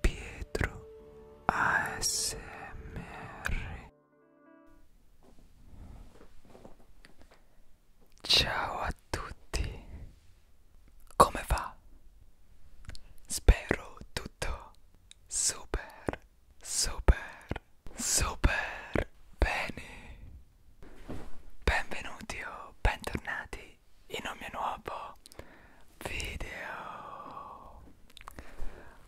Pietro ASMR Ciao a tutti Come va? Spero tutto super super super bene Benvenuti o bentornati in un nuovo video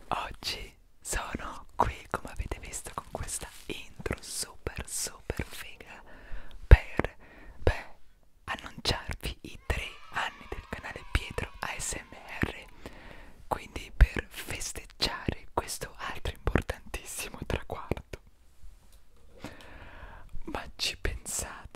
oggi sono qui come avete visto con questa intro super super figa per beh, annunciarvi i tre anni del canale Pietro ASMR quindi per festeggiare questo altro importantissimo traguardo ma ci pensate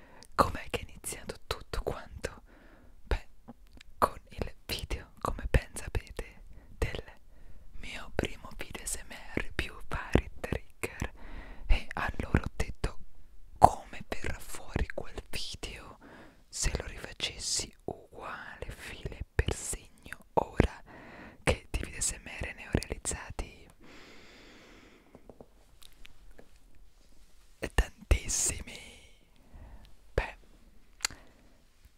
com'è che è iniziato tutto quanto? Beh, con il video, come ben sapete, del mio primo video SMR più vari trigger e allora ho detto come verrà fuori quel video se lo rifacessi uguale file per segno ora che di video SMR ne ho realizzati e tantissimi beh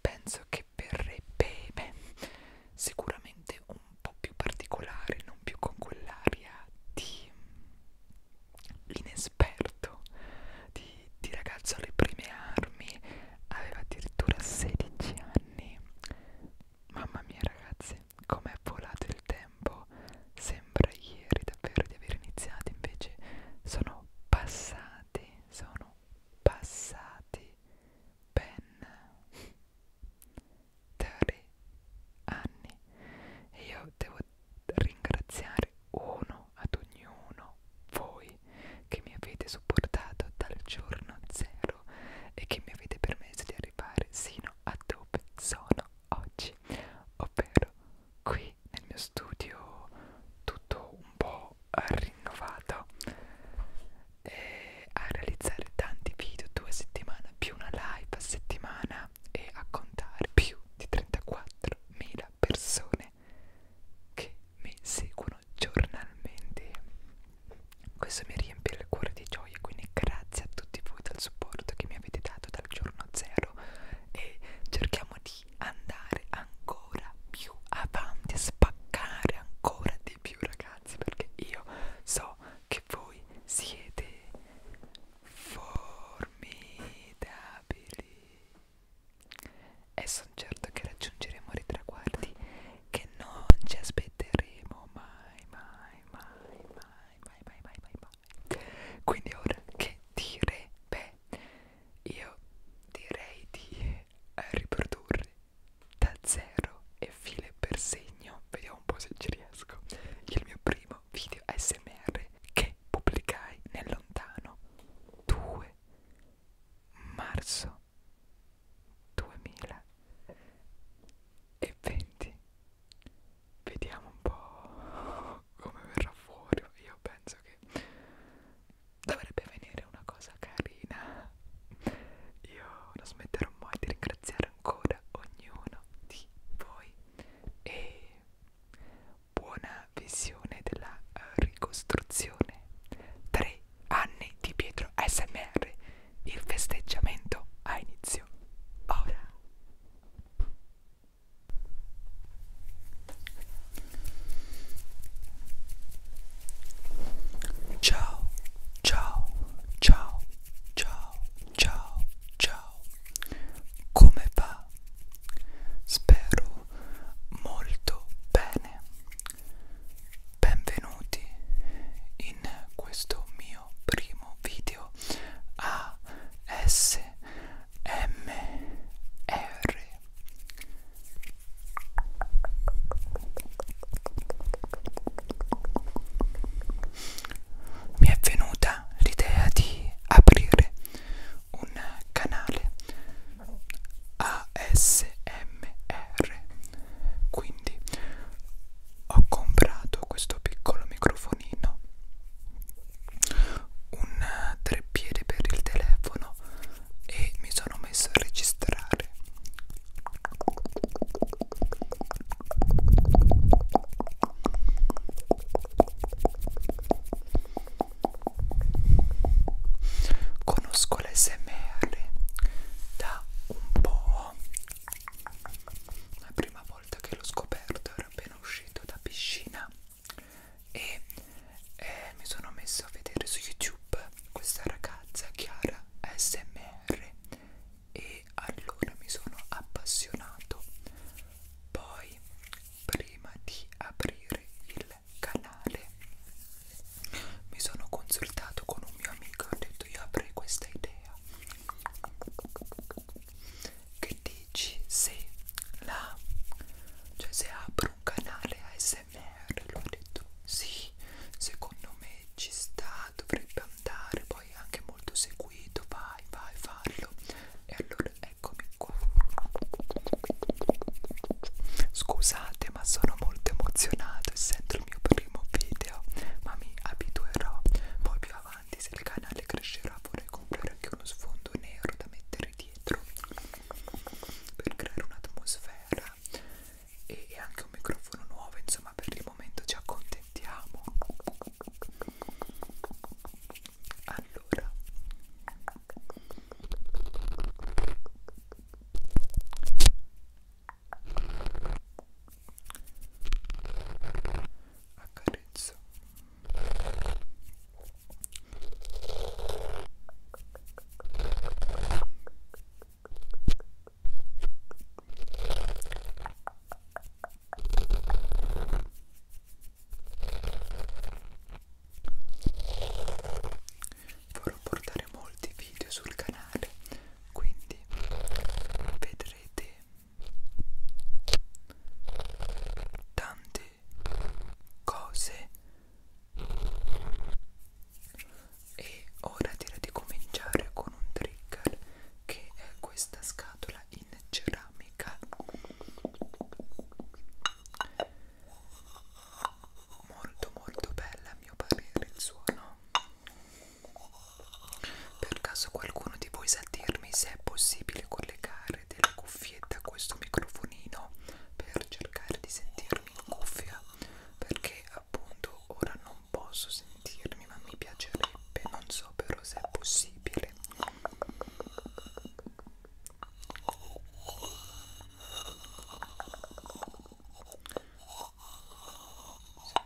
penso che verrebbe beh, sicuramente un po' più particolare non più con quell'aria di inesperto di, di ragazzo alle prime armi aveva addirittura 16 anni mamma mia ragazzi Niente, com'è volato il tempo, sembra ieri davvero di aver iniziato, invece sono passati, sono passati ben tre anni e io devo ringraziare uno ad ognuno voi che mi avete supportato dal giorno zero e che mi avete permesso di arrivare sino a dove sono oggi, ovvero qui nel mio studio tutto un po' rinnovato e a realizzare tanti video due a settimana più una live a settimana e a contare più di 34.000 persone che mi seguono giornalmente questo mi riempie il cuore di gioia gioia quindi grazie a tutti voi del supporto che mi avete dato dal giorno zero e cerchiamo di andare ancora più avanti spaccare ancora di più ragazzi perché io so che voi siete formidabili e sono certo che raggiungeremo dei traguardi che non ci aspetteremo mai mai mai mai mai mai mai mai mai male quindi ora che dire beh io direi di riprodurre da zero e file per segno vediamo un po' se ci riesco il mio primo video smr che pubblicai nel lontano 2 marzo 2020 vediamo un po' come verrà fuori io penso che dovrebbe venire una cosa carina io non smetterò mai di ringraziare ancora ognuno di voi e buona visione della eh, ricostruzione 3 anni di Pietro ASMR il festeggiamento ha inizio ora. Ciao, ciao, ciao, ciao, ciao, ciao. Come va? Spero molto bene. Benvenuti in questo mio mio primo video ASMR mi è venuta l'idea di aprire un canale ASMR quindi ho comprato questo piccolo microfono telefonino un treppiede per il telefono e mi sono messo a registrare conosco l'SMR da un po' la prima volta volta che l'ho scoperto ero appena uscito da piscina e eh, mi sono messo a vedere su YouTube questa ragazza Chiara SMR e allora mi sono appassionato. Poi prima di aprire il canale mi sono consultato con un mio amico e ho detto io avrei questa idea che dici se la cioè se apro un canale ASMR lo ha detto sì secondo me ci sta dovrebbe andare poi è anche molto seguito vai vai fallo e allora eccomi qua scusate ma sono molto emozionato essendo il mio primo video ma mi abituerò poi più avanti avanti se il canale crescerà vorrei comprare anche uno sfondo nero da mettere dietro per creare un'atmosfera e, e anche un microfono nuovo insomma per il momento ci accontentiamo allora accarezza Vorrò portare molti video sul canale, quindi vedrete tante cose e ora direi di cominciare con un trigger che è questa scatola in ceramica molto molto bella a mio parere il suono per caso qualcuno di voi sa dirmi se è possibile collegare delle cuffiette a questo microfonino per cercare di sentirmi in cuffia? Perché appunto ora non posso sentirmi, ma mi piacerebbe, non so però se è possibile.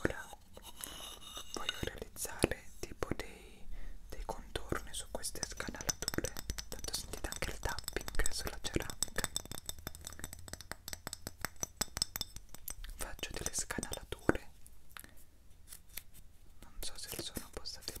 Ora voglio realizzare tipo dei, dei contorni su queste scanalature, tanto sentite anche il tapping sulla ceramica. Faccio delle scanalature non so se il suono possa tenere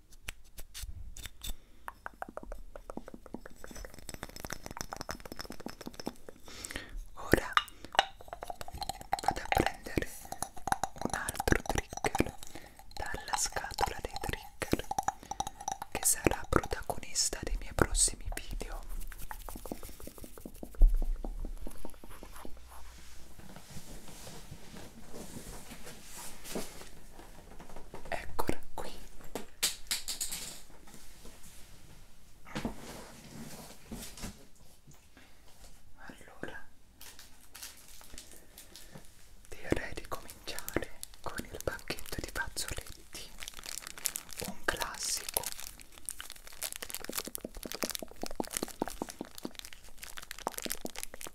Ora vado a prendere un altro trigger dalla scatola dei trigger che sarà protagonista dei miei prossimi video. Eccola qui. Allora, direi di cominciare con il pacchetto di fazzoletti, un classico.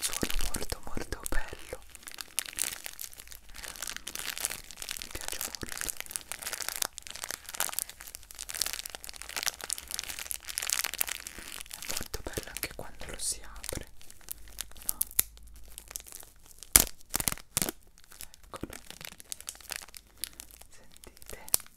Suono molto molto bello mi piace molto è molto bello anche quando lo si apre no? eccolo sentite eccolo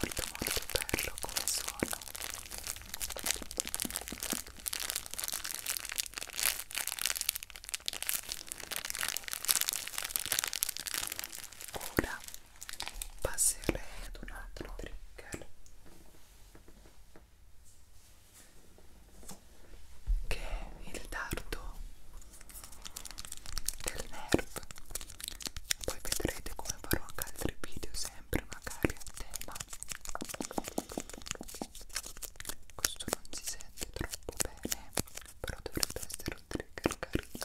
molto molto bello come suono ora passerei ad un altro trigger che è il dardo del nerve poi vedrete come farò anche altri video sempre magari a tema questo non si sente troppo bene però dovrebbe essere un trigger carino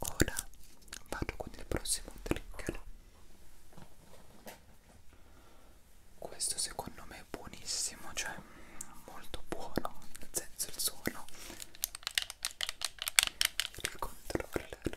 Ora vado con il prossimo trigger. Questo secondo me è buonissimo, cioè molto buono, nel senso il suono, il controller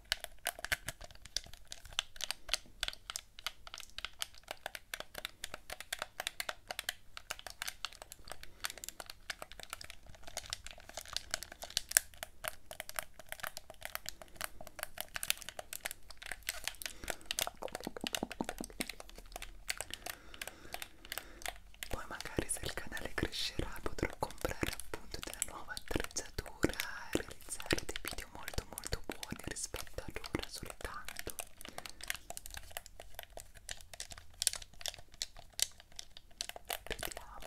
Poi magari se il canale crescerà potrò comprare appunto della nuova attrezzatura e realizzare dei video video molto molto buoni rispetto ad ora soltanto vediamo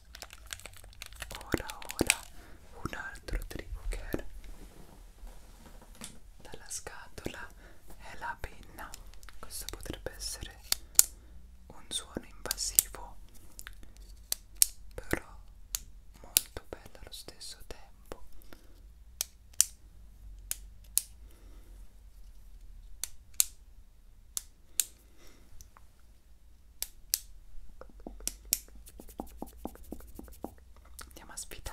Ora, ora, un altro trigger. Dalla scatola è la penna. Questo potrebbe essere un suono invasivo, però molto bello allo stesso tempo. Andiamo a sfidare.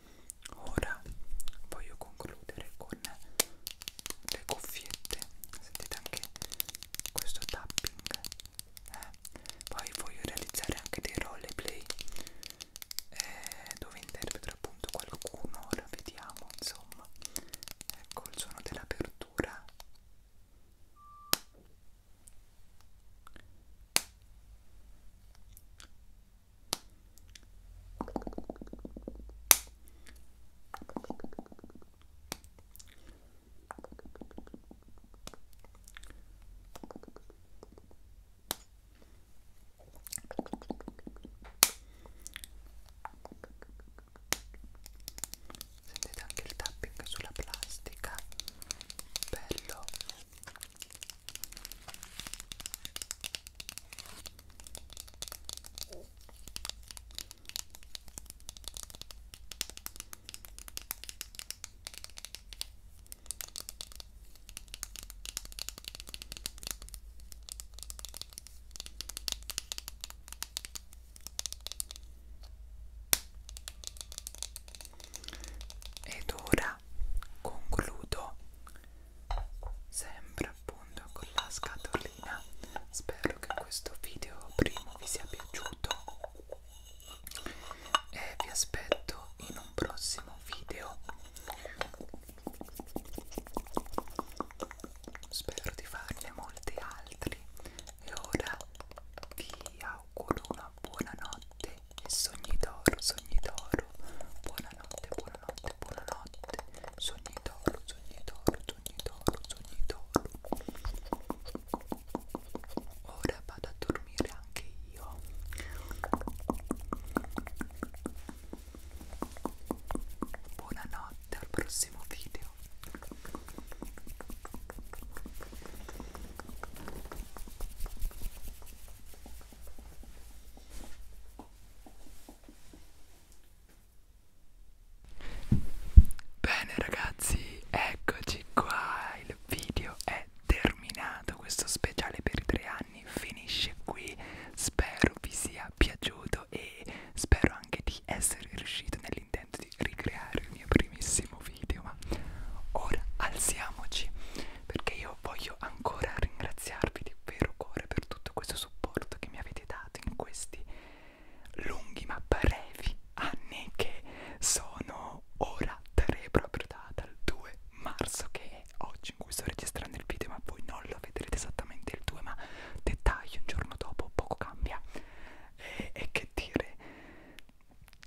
ora voglio concludere con le cuffiette sentite anche questo tapping eh? poi voglio realizzare anche dei roleplay eh, dove interpreto appunto qualcuno ora vediamo insomma ecco il suono dell'apertura Sentite anche il tapping sulla plastica, bello ed ora ora concludo sempre appunto con la scatolina spero che questo video primo vi sia piaciuto e vi aspetto in un prossimo video spero di farne molti altri e ora vi auguro una buona notte Sogni d'oro, sogni d'oro. Buonanotte, buonanotte, buonanotte. Sogni d'oro, sogni d'oro, sogni d'oro, sogni d'oro. Ora vado a dormire anche io. Buonanotte al prossimo video. Bene ragazzi, eccoci qua, il video è terminato, questo speciale per i tre anni finisce qui, spero vi sia piaciuto e spero anche di essere riuscito nell'intento di ricreare il mio primissimo video, ma ora alziamoci perché io io voglio ancora ringraziarvi di vero cuore per tutto questo supporto che mi avete dato in questi lunghi ma brevi anni che sono ora tre proprio da, dal 2 marzo che è oggi in cui sto registrando il video ma voi non lo vedrete esattamente il 2 ma dettaglio un giorno dopo poco cambia e, e che dire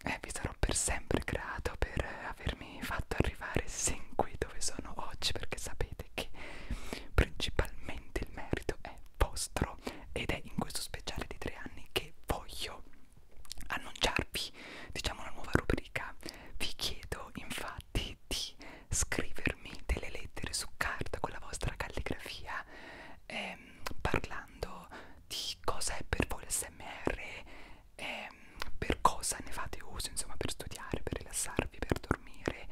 eh, vi sarò per sempre grato per avermi fatto arrivare sin qui dove sono oggi perché sapete che principalmente il merito è vostro ed è in questo speciale di tre anni che voglio annunciarvi diciamo una nuova rubrica vi chiedo infatti di scrivermi delle lettere su carta con la vostra calligrafia ehm, parlando di cosa è per voi l'SMR eh, per cosa ne fate uso, insomma, per studiare, per rilassarvi, per dormire,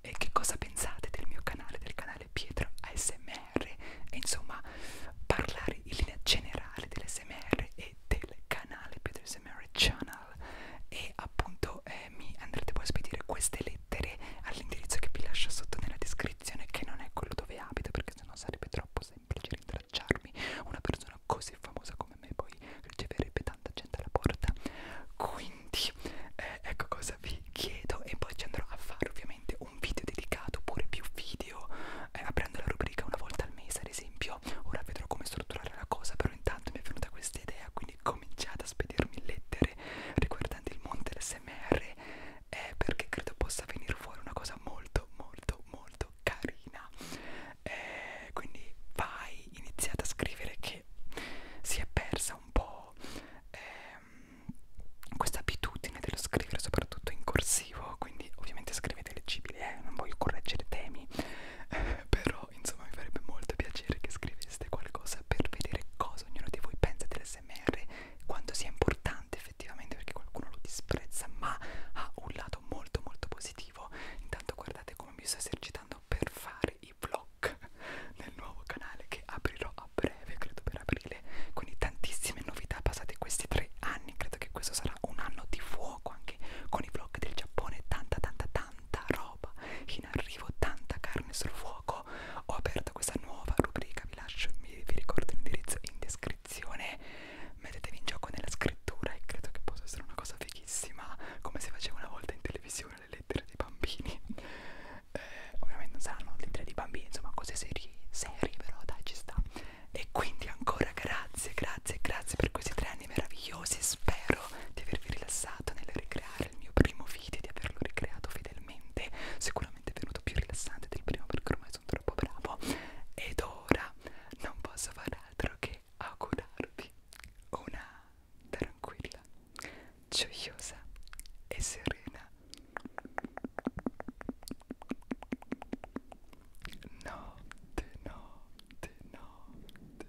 eh, che cosa pensate del mio canale, del canale Pietro ASMR, e insomma, parlare in linea generale dell'ASMR e del canale Pietro ASMR Channel. E appunto eh, mi andrete poi a spedire queste lettere all'indirizzo che vi lascio sotto nella descrizione, che non è quello dove abito, perché sennò sarebbe troppo semplice abbracciarmi. Una persona così famosa come me poi riceverebbe tanta gente alla porta. Quindi eh, ecco cosa vi chiedo e poi ci andrò a fare ovviamente un video dedicato oppure più video eh, aprendo la rubrica una volta al mese ad esempio. Ora vedrò come strutturare la cosa, però intanto mi è venuta questa idea, quindi cominciate a spedirmi lettere riguardanti il mondo dell'SMR eh, perché credo possa venire fuori una cosa molto molto molto molto carina eh, quindi vai iniziate a scrivere che si è persa un po' ehm, questa abitudine dello scrivere soprattutto in corsivo quindi ovviamente scrivete leggibile eh? non voglio correggere temi eh, però insomma mi farebbe molto piacere che scriveste qualcosa per vedere cosa ognuno di voi pensa dell'SMR quanto sia importante effettivamente perché qualcuno lo disprezza ma ha un lato molto molto positivo motivo intanto guardate come mi sto esercitando per fare i vlog nel nuovo canale che aprirò a breve credo per aprile quindi tantissime novità passate questi tre anni credo che questo sarà un anno di fuoco anche con i vlog del Giappone tanta tanta tanta roba in arrivo tanta carne sul fuoco ho aperto questa nuova rubrica vi lascio vi ricordo l'indirizzo in descrizione lezione mettetevi in gioco nella scrittura e credo che possa essere una cosa fighissima come si faceva una volta in televisione le lettere dei bambini eh, ovviamente non saranno lettere dei bambini insomma cose serie, serie però dai ci sta e quindi ancora grazie grazie grazie per questi tre anni meravigliosi spero di avervi rilassato nel ricreare il mio primo video di averlo ricreato fedelmente sicuramente è venuto più rilassante del primo perché ormai sono troppo bravo ed ora non posso fare altro che augurarvi una tranquilla, gioiosa e serena notte, notte, notte